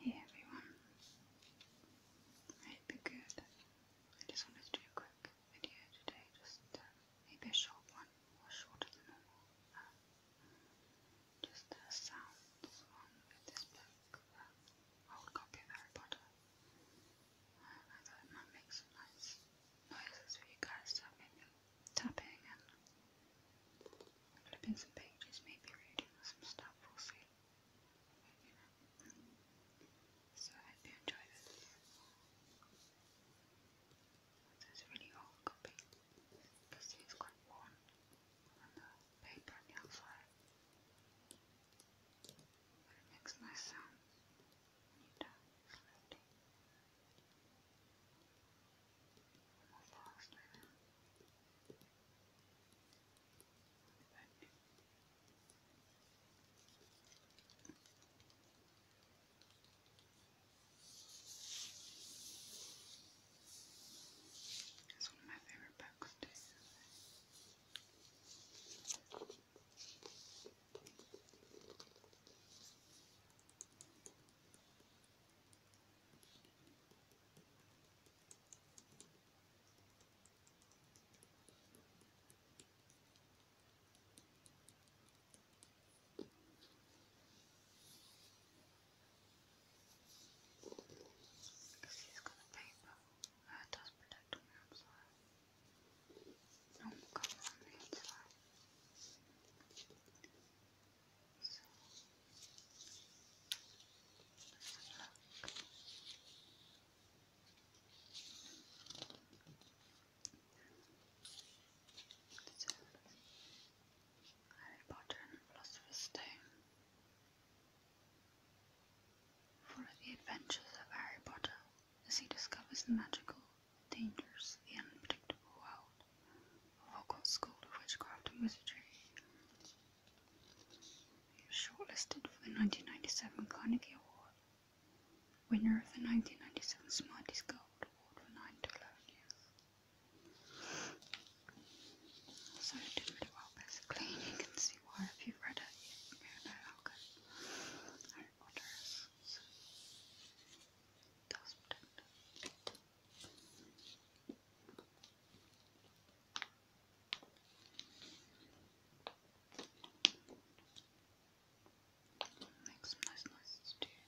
Hey everyone, I you good. I just wanted to do a quick video today, just um, maybe a short one, shorter than normal. Um, just the uh, sounds this book, um, old copy of Harry Potter. Uh, I thought some nice noises for you guys, tapping and flipping some pages, maybe reading some stuff, we'll see. So hope you enjoy this. It's really old copy. You it's quite worn on the paper on the But it makes nice sound you do it it's one of my favorite books too. Because he's got a paper that uh, does protect me, I'm sorry. 너무 가만히 Harry Potter and the Philosopher's Stone. Follow the adventures of Harry Potter as he discovers the magical dangers the unpredictable world of Hogwarts School of Witchcraft and Wizardry. He was shortlisted for the 1997 Carnegie Award, winner of the 1997 Smarties Gold Award for 9 to 11 years. So he did really well, basically, you can see why if you've read it, you know how Harry Potter Make some nice noises too.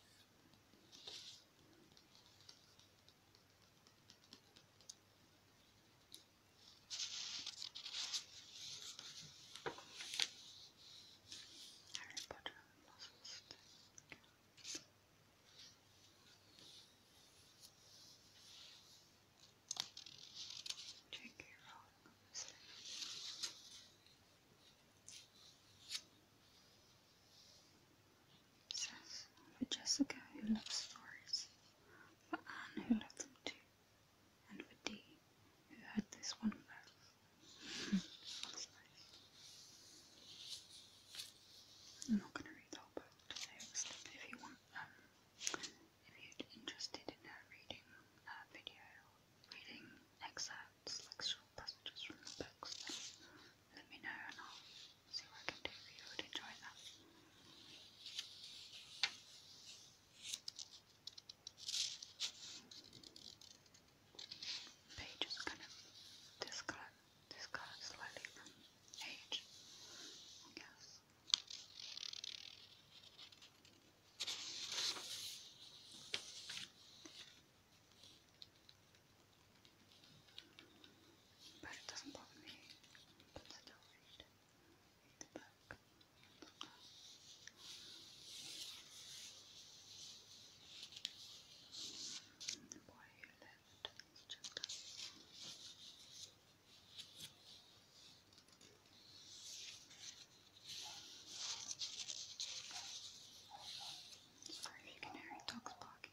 Harry Potter. Check for Jessica who loves stories, for Anne who loved them too, and for Dee who had this one verse. I'm not going to read the whole book today, if you want, um, if you're interested in uh, reading uh, video, reading excerpts, like short passages from the books, let me know and I'll see what I can do if you would enjoy that. Page is kind of discolored, discolored slightly age, I But it doesn't bother me. Why you Sorry if you can hear any dogs barking.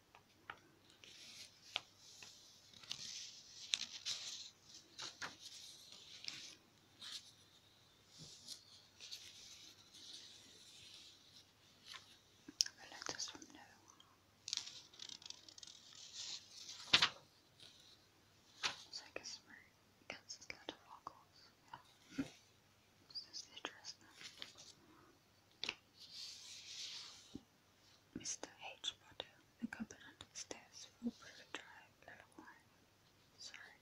The letters from now. So I guess we're against this letter, of course. address Mr. H. Potter, the covenant is death for River Drive, level 1. Sorry.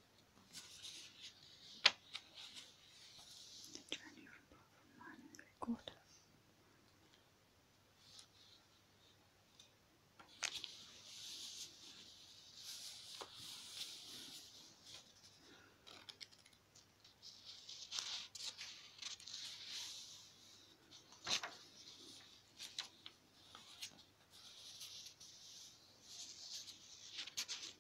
The journey from Pop from Mine Recorder.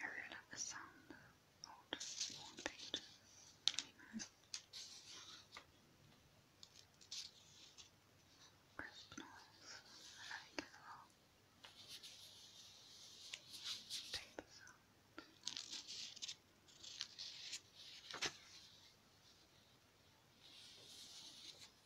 I really like the sound of old worn pages. Crisp noise. I like it a lot. Paper sound.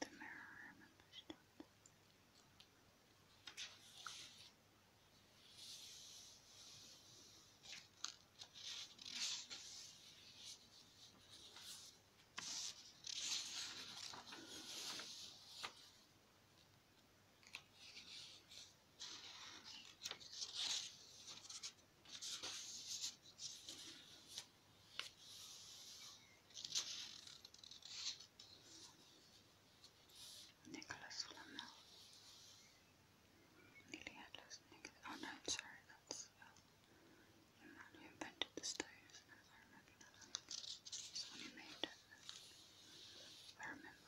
The mirror, I remember she Nicholas Flamel. Nearly Nicholas. Oh no, sorry, that's uh, the invented the stove, I remember that. He's the made it. I remember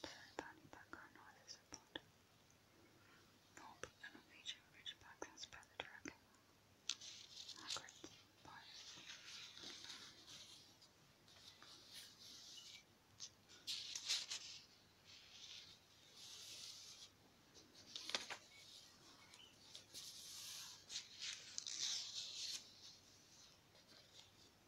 Taliban in Pakistan also support. North a Norwegian Ridgeback has by the dragon. Margaret Byers. Thank you.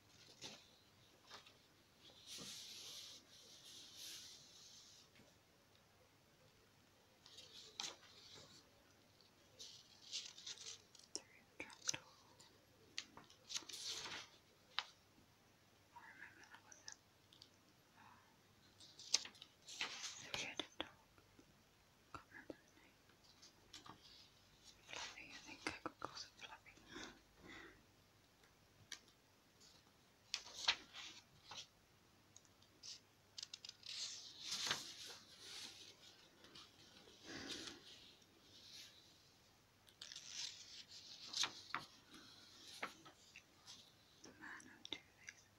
I remember that was it. Oh. Maybe I didn't know. Can't remember the name. Fluffy, I think I could call it fluffy. Man, i do this.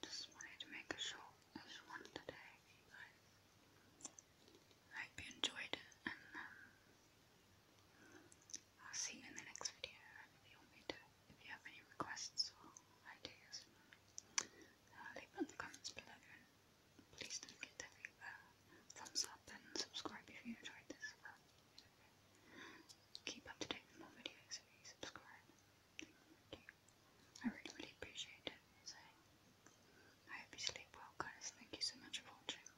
Just wanted to make a short as one today, you I hope you enjoyed it, and um, I'll see you in the next video. If you want me to, if you have any requests or ideas, uh, leave them in the comments below. Please don't get that feedback. Thumbs up and subscribe if you enjoyed this. Keep up to date with more videos if you subscribe. Thank you. I really, really appreciate it. So, I hope you sleep well, guys. Thank you so much for watching.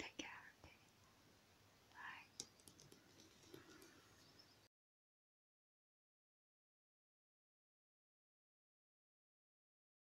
Take care. Bye.